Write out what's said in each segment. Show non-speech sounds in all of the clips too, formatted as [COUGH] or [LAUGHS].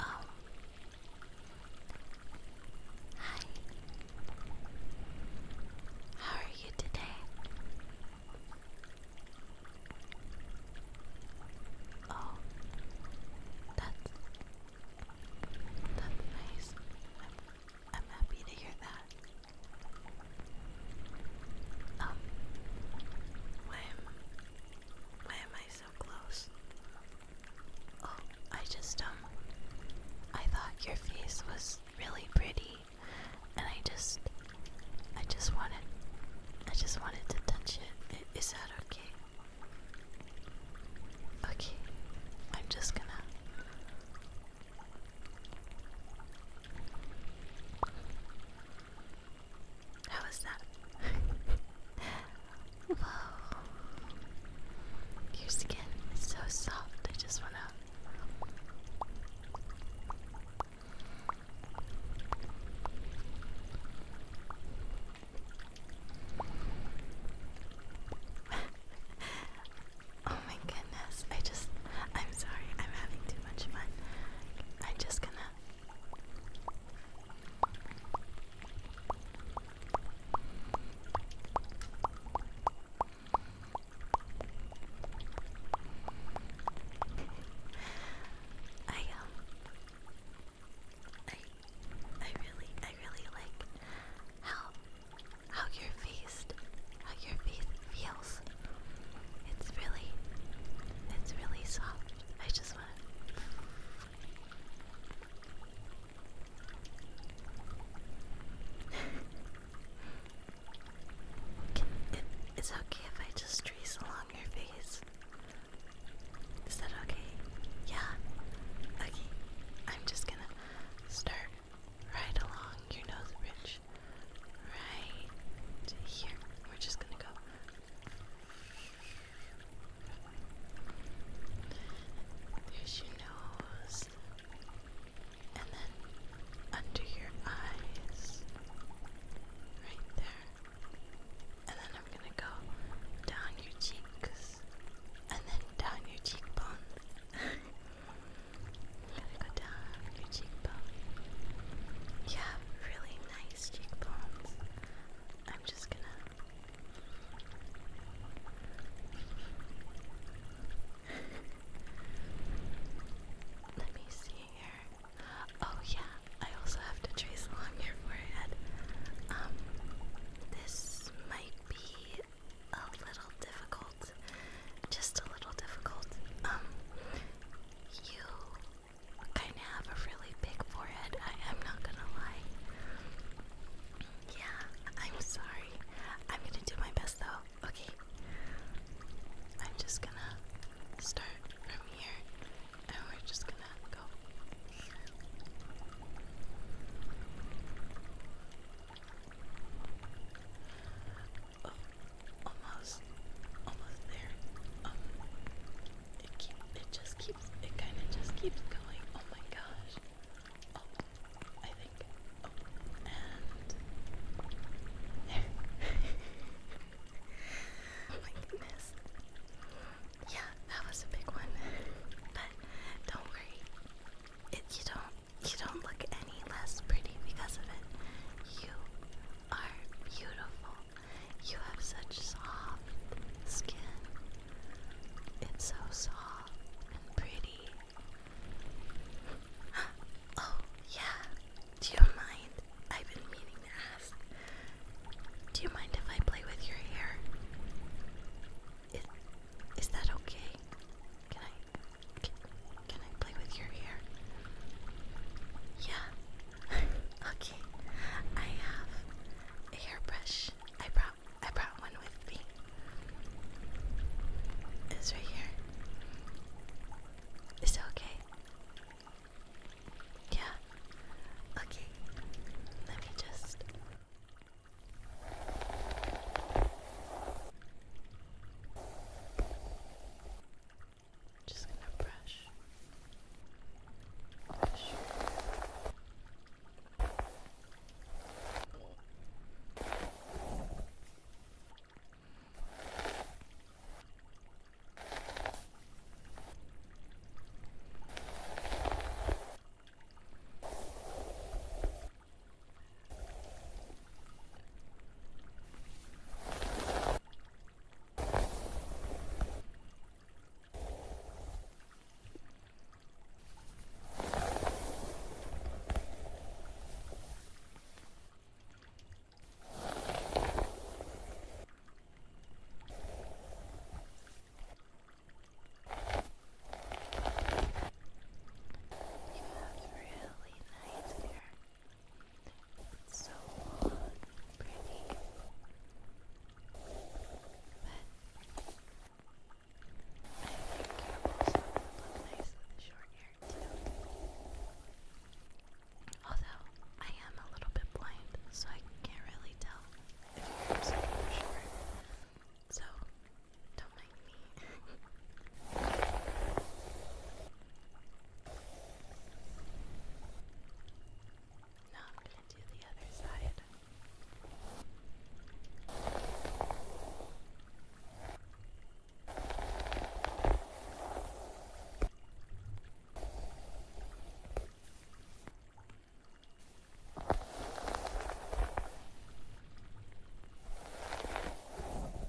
Oh. Hi. How are you today? Oh. That's that's nice. I'm, I'm happy to hear that. Um, i why am I so close? Oh, I just, um, I thought your face was really pretty, and I just, I just wanted, I just wanted to touch it. Is that okay? Okay, I'm just gonna. How was that? [LAUGHS] Whoa. Your skin is so soft, I just wanna. [LAUGHS] oh my goodness, I just. I'm sorry, I'm having too much fun. I'm just gonna I um I I really I really like how how your face how your face feels it's really, it's really soft. I just want to. [LAUGHS] it's okay if I just trace along your face. Is that okay? Yeah. Okay. I'm just gonna start right along your nose bridge right here. We're just gonna go. There's your nose, and then under your eyes, right there. And then I'm gonna go down your cheeks, and then down your cheekbones. [LAUGHS] gonna go down your cheekbone. Yeah, really nice cheekbones. I'm just gonna. [LAUGHS] Let me see here. Oh, yeah, I also have to trace along your forehead. Um, this might be a little difficult. Just a little difficult. Um, you kind of have a really big forehead. I am not gonna lie. Yeah, I'm sorry. I'm gonna do my best though. Okay. I'm just gonna start from here and we're just gonna go um, almost, almost there. Um, it keep, it just keeps, it kind of just keeps going. Oh my gosh. Oh, I think. Oh, and there. [LAUGHS] oh my goodness. Yeah, that was a big one. But don't worry. It, you don't you don't look any less pretty because of it. You are beautiful. You have such soft skin. It's so soft and pretty. [GASPS] Oh, yeah. Do you mind? I've been meaning to ask. Do you mind if I play with your hair? Is, is that okay? Can I can, I play with your hair? Yeah. [LAUGHS] okay. I have a hairbrush. I brought I brought one with me. It's right here. Is it okay? Yeah. Okay. Let me just just gonna brush. brush. You have really nice here. It's so But I think your also would look nice with short hair too. Although I am a little bit blind, so I can't really tell if your hair's short. So don't mind me. now I'm going to do the other side.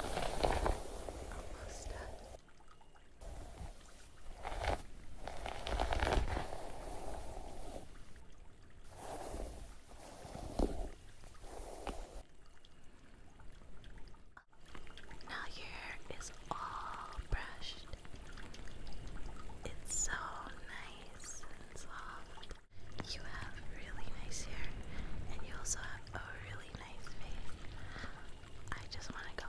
Almost done. Now your hair is all brushed. It's so nice and soft. You have really nice hair, and you also have a really nice face. I just want to go.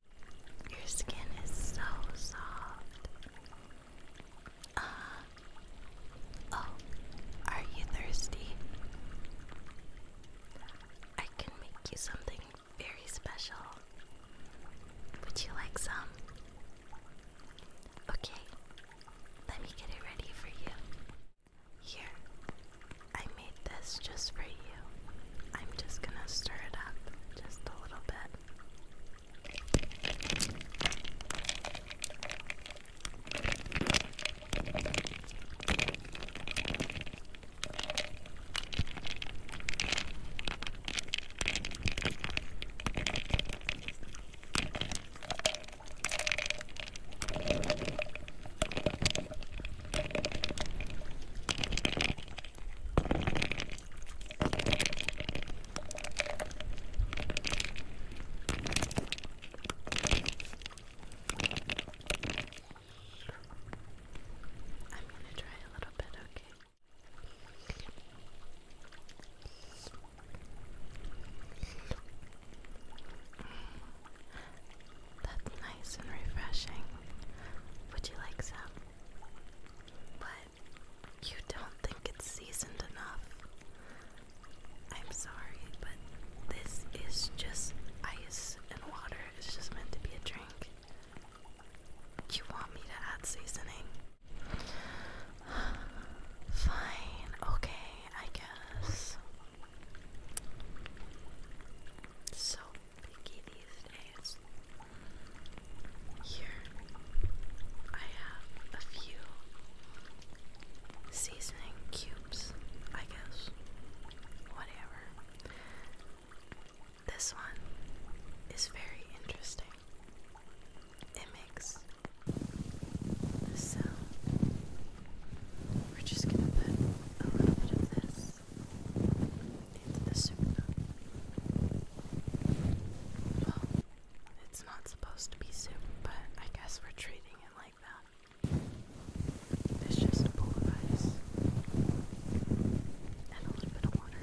Your skin is so soft. Uh, oh, are you thirsty? I can make you something very special. Would you like some? Okay, let me get it ready for you. Here, I made this just for I'm just going to stir it up just a little bit. I'm going to try a little bit, okay? That's nice and refreshing. Would you like some? But you don't think it's seasoned enough. I'm sorry, but this is just ice and water. It's just meant to be a drink. You want me to add seasoning? [SIGHS] Fine, okay, I guess. So these days. Here I have a few seasoning cubes, I guess. Whatever. This one is very interesting. It makes this sound. We're just gonna put a little bit of this into the soup. Well, it's not supposed to be soup, but I guess we're treating it like that. It's just a bowl of rice and a little bit of water.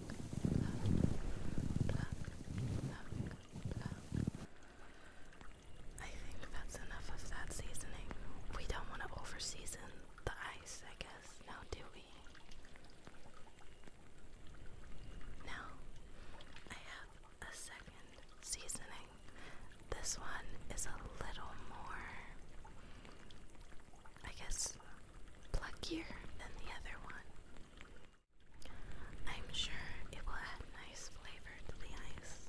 I think that's enough of that seasoning. We don't want to over the ice, I guess, now do we? Now I have a second seasoning. This one is a little more, I guess, pluckier than the other one. I'm sure it will add nice flavor to the ice.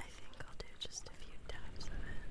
I think I'll do just a few taps of it.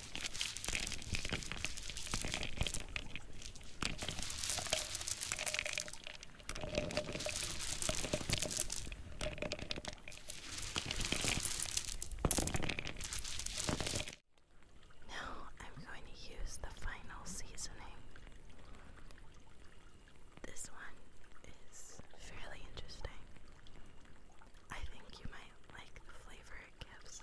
Now I'm going to use the final seasoning. This one is fairly interesting. I think you might like the flavor it gives.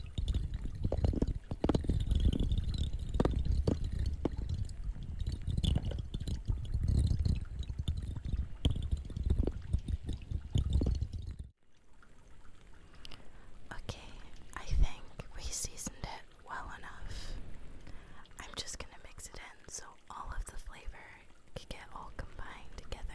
Okay, I think we seasoned it well enough. I'm just gonna mix it in so all of the flavor can get all combined together.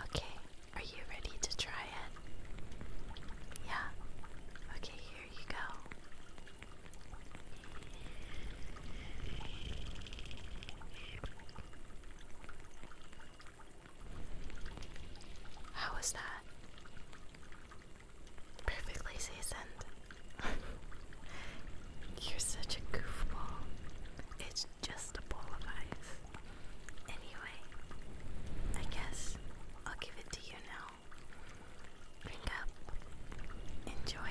Okay, are you ready to try it? Yeah. Okay, here you go. How was that? Perfectly seasoned. [LAUGHS] You're such a goofball. It's just a bowl of ice. Anyway, I guess I'll give it to you now. Drink up. Enjoy.